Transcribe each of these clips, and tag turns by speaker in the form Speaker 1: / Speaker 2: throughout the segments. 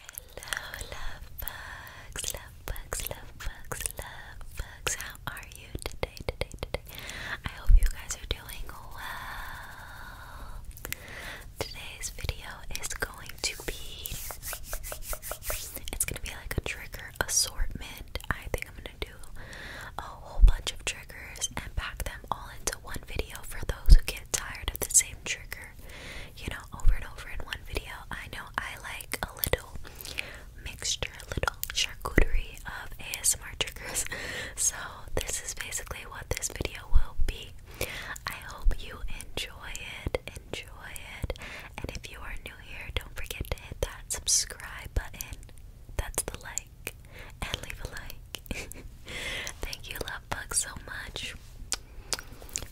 Speaker 1: Hello, love bugs, love bugs, love bugs, love bugs. How are you today, today, today? I hope you guys are doing well. Today's video is going to be it's gonna be like a trigger assortment. I think I'm gonna do a whole bunch of triggers and pack them all into one video for those who get tired of the same trigger. You know, over and over in one video. I know I like a little mixture, little charcuterie of ASMR triggers. So this is basically what this video will be. I hope you enjoy it. Enjoy it. And if you are new here, don't forget to hit that subscribe button. That's the like. And leave a like. Thank you, love that so much.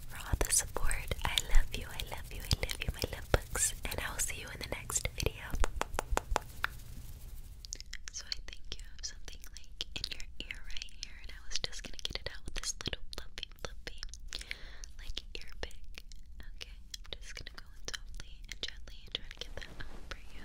Speaker 1: For all the support, I love you, I love you, I love you, my love books, and I will see you in the next video. So I think you have something like in your ear right here, and I was just gonna get it out with this little fluffy, fluffy, like ear pick. Okay, I'm just gonna go softly and gently and try to get that out for you.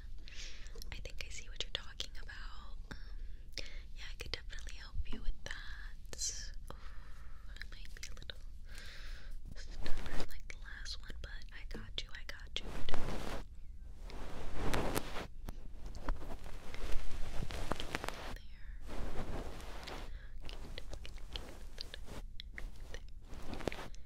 Speaker 1: I think I see what you're talking about. Um, yeah, I could definitely help you with that. might be a little stubborn like the last one, but I got you, I got you.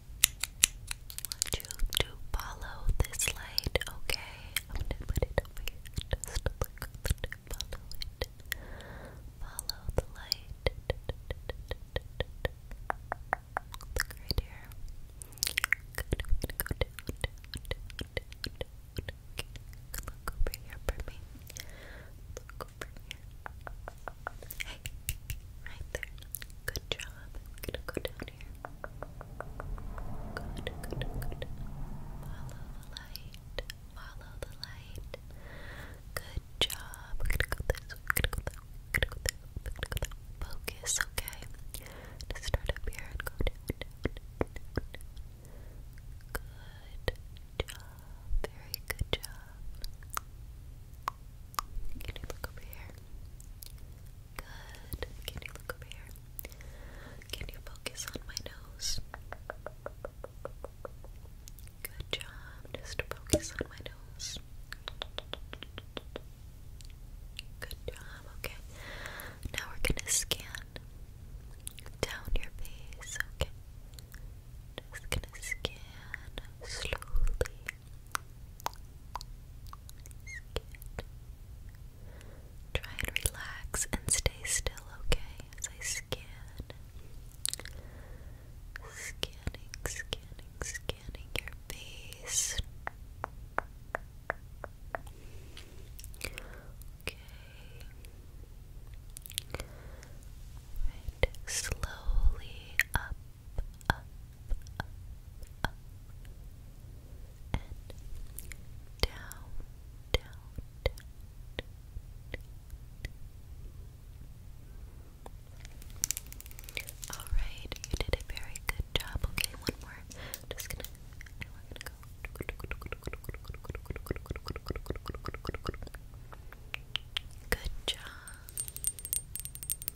Speaker 1: want you to follow this light, okay? I'm gonna put it over here just a little bit. Follow Follow the light. Look right here. Good. I'm gonna go down, down, down, Look over here for Look over here right there. Good job. i go down here. Good, good, good. Follow the light. Follow the light. Good job. i go this way. go that way. go that Focus, okay? start up here and go down. Good job. Very good job. Can you look over here? Good. Can you look over here? Can you focus on my nose? Good job. Just focus on my nose. Good job. Okay. Now we're going to scan down your face. Okay. Just going to scan slowly. Try and relax and stay still, okay? As I scan. Scanning, scanning, scanning your face. Okay. Right. Slowly up up, up, up, and down, down, All right, you did a very good job. Okay, one more. just gonna, Good job.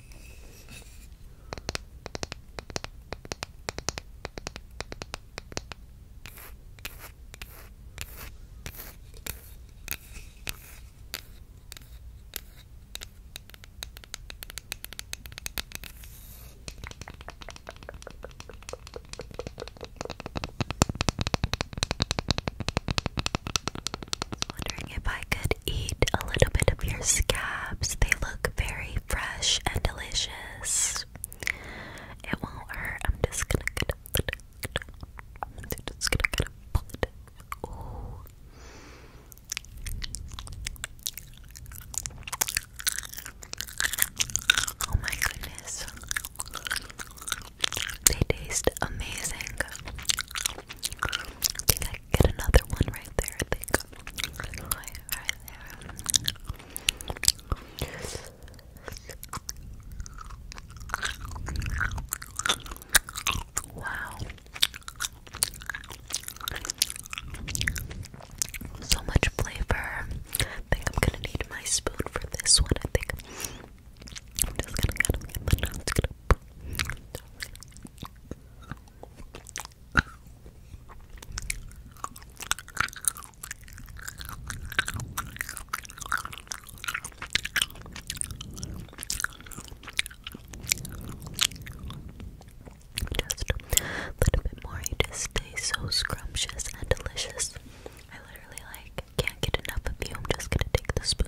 Speaker 1: I was wondering if I could eat a little bit of your scabs. They look very fresh and delicious. It won't hurt. I'm just gonna get it. I'm just gonna get it. Oh my goodness. They taste amazing. I get another one right there, I think. Wow. So much flavor. I think I'm gonna need my spoon for this one. I think just a little bit more, you just taste so scrumptious and delicious. I literally like can't get enough of you. I'm just gonna take the spoon.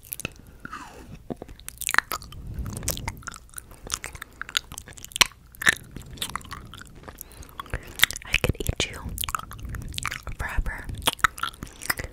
Speaker 1: I could eat you forever. Good.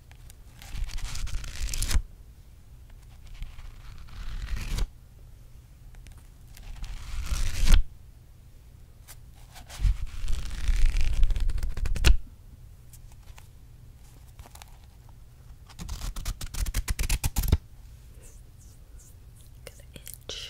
Speaker 1: Gonna itch.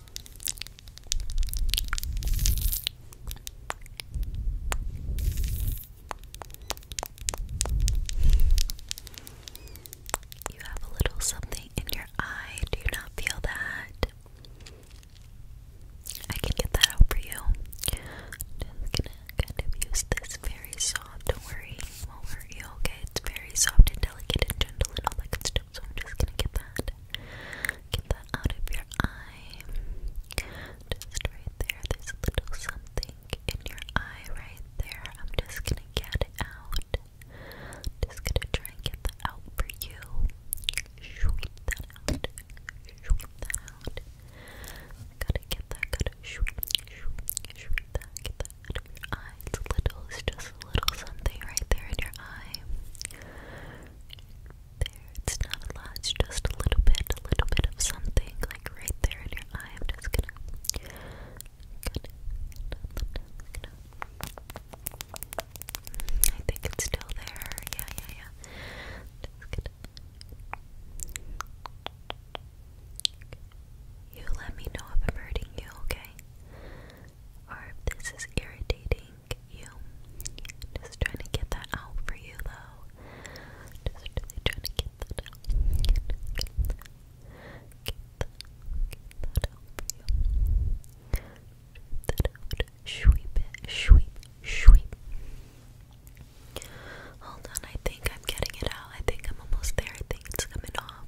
Speaker 1: You have a little something in your eye. Do you not feel that? I can get that out for you. Just gonna kind of use this very soft. Don't worry, won't hurt you. Okay, it's very soft and delicate and gentle and all that good stuff. So I'm just gonna get that Get that out of your eye. Just right there. There's little something in your eye right there. I'm just gonna get it out. Just gonna try and get that out for you. Sweep that out. Sweep that out. Gotta get that. Gotta sweep, sweep, sweep that. Get that out of your eye. It's little. It's just a little something right there in your eye there. It's not a lot, it's just a little bit, a little bit of something, like right there in your eye. I'm just gonna. gonna, gonna I think it's still there. Yeah, yeah, yeah. Just gonna. You let me know if I'm hurting you, okay? Or if this is irritating just trying to get that out for you, though. Just trying to get that out. Get that, out for you. Sweep it. Sweep. Sweep. Hold on, I think I'm getting it out. I think I'm almost there. I think it's coming off.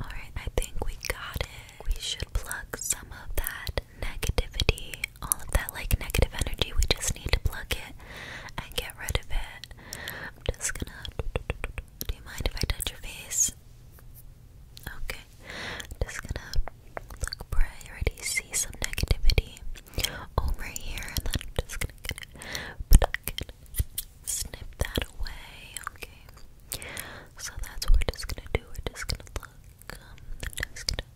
Speaker 1: Alright, I think we got it. We should plug some of that negativity, all of that like negative energy. We just need to plug it and get rid of it. I'm just gonna. Do you mind if I touch your face? Okay. I'm just gonna look for I already see some negativity over here, and then I'm just gonna snip that away, okay? So that's what we're just gonna do. We're just gonna look. Um, i just gonna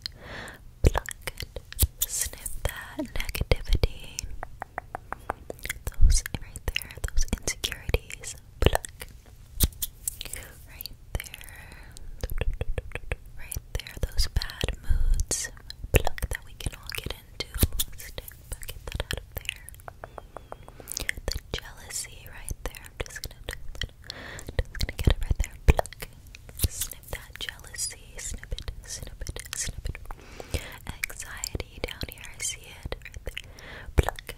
Speaker 1: pluck snip that negativity, those right there, those insecurities. Pluck. Right there. Right there, those bad moods. Pluck that we can all get into. Snip, get that out of there. The jealousy right there. I'm just gonna get it right there. Pluck. that jealousy. Snip it. Snip it. Snip it. Anxiety down here. I see it right there. Pluck.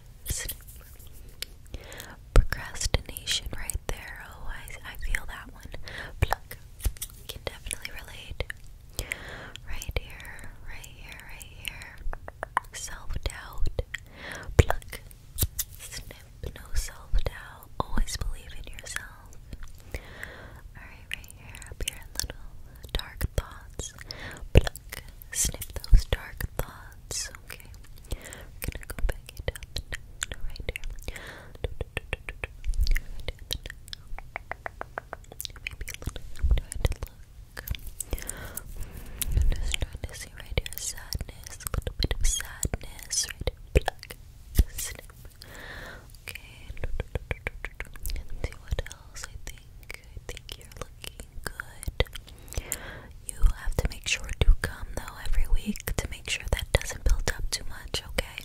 Speaker 1: Procrastination right there. Oh, I, I feel that one. Pluck. Can definitely relate. Right here. Right here. Right here self-doubt. Pluck. Snip. No self-doubt. Always believe in yourself. Alright, right here. Up here little dark thoughts. Pluck. Snip those dark thoughts. Okay. gonna go back into Right here. Maybe a little I'm just trying to see right here sadness, a little bit of sadness, right Okay, see what else I think. I think you're looking good. You have to make sure to come though every week to make sure that doesn't build up too much, okay?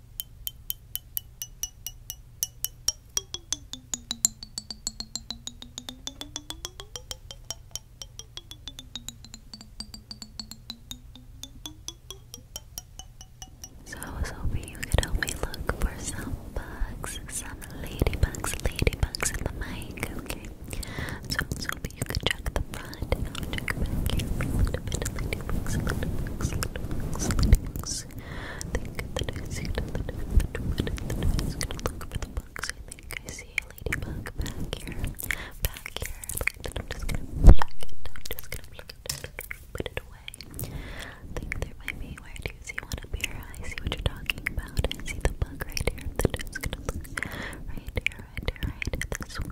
Speaker 1: So I was hoping you could help me look for some bugs, some ladybugs, ladybugs in the mic, okay? So I was hoping you could check them front, out your you gonna look for the bugs. I think I see a ladybug back here, back here. Like that, I'm just gonna pluck I'm just gonna put it away. I think there might be, where do you see one up here? I see what you're talking about. I see the bug right here, the noise, gonna look right here, right here, right here. This one,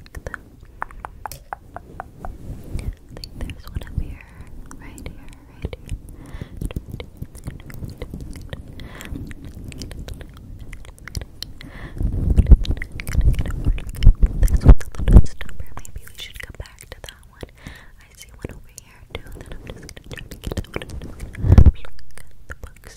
Speaker 1: pluck them. I think there's one up here, right here, right here. This one's a little Maybe we should come back to that one. I see one over here too. Then I'm just gonna try to get out. Look at the books.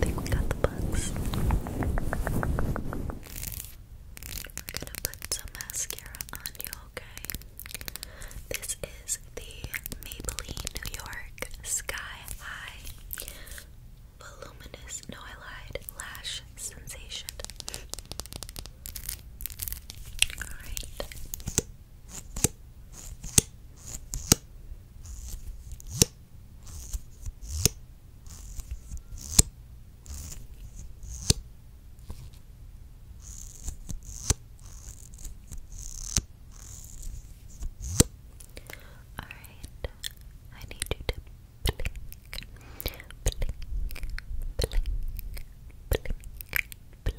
Speaker 1: think we got the bugs. We're gonna put some mascara on you, okay? This is the Maybelline New York Sky High Voluminous, no Lash Sensation. Alright. Alright, I need you to blink, blink, blink, blink, blink, blink,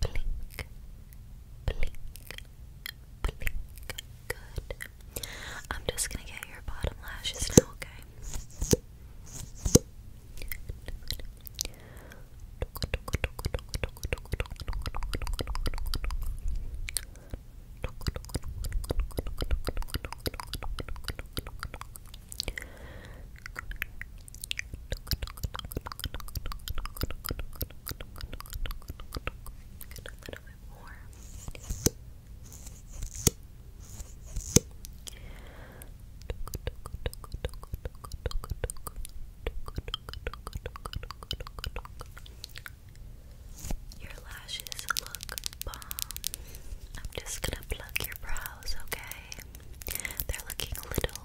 Speaker 1: blink, blink, blink. Good. I'm just gonna get your bottom lashes now, okay? Your lashes look bomb. I'm just gonna pluck your brows, okay? They're looking a little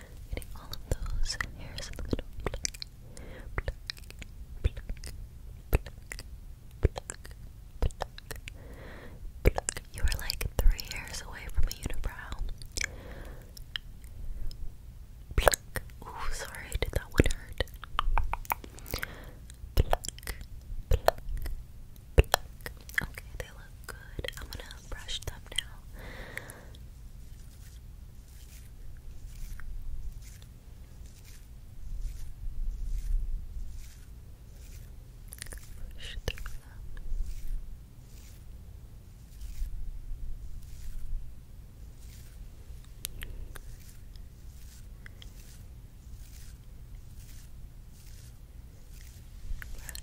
Speaker 1: Getting You are like three hairs away from a unibrow. Ooh, sorry, did that one hurt? Okay, they look good. I'm gonna brush them now. Brush through them.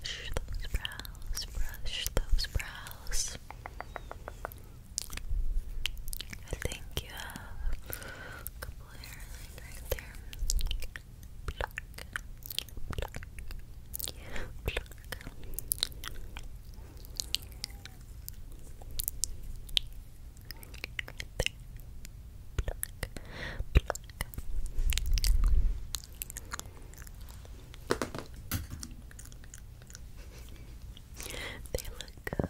Speaker 1: Brush those brows, brush those brows. I think you have a couple hairline right there. They look good.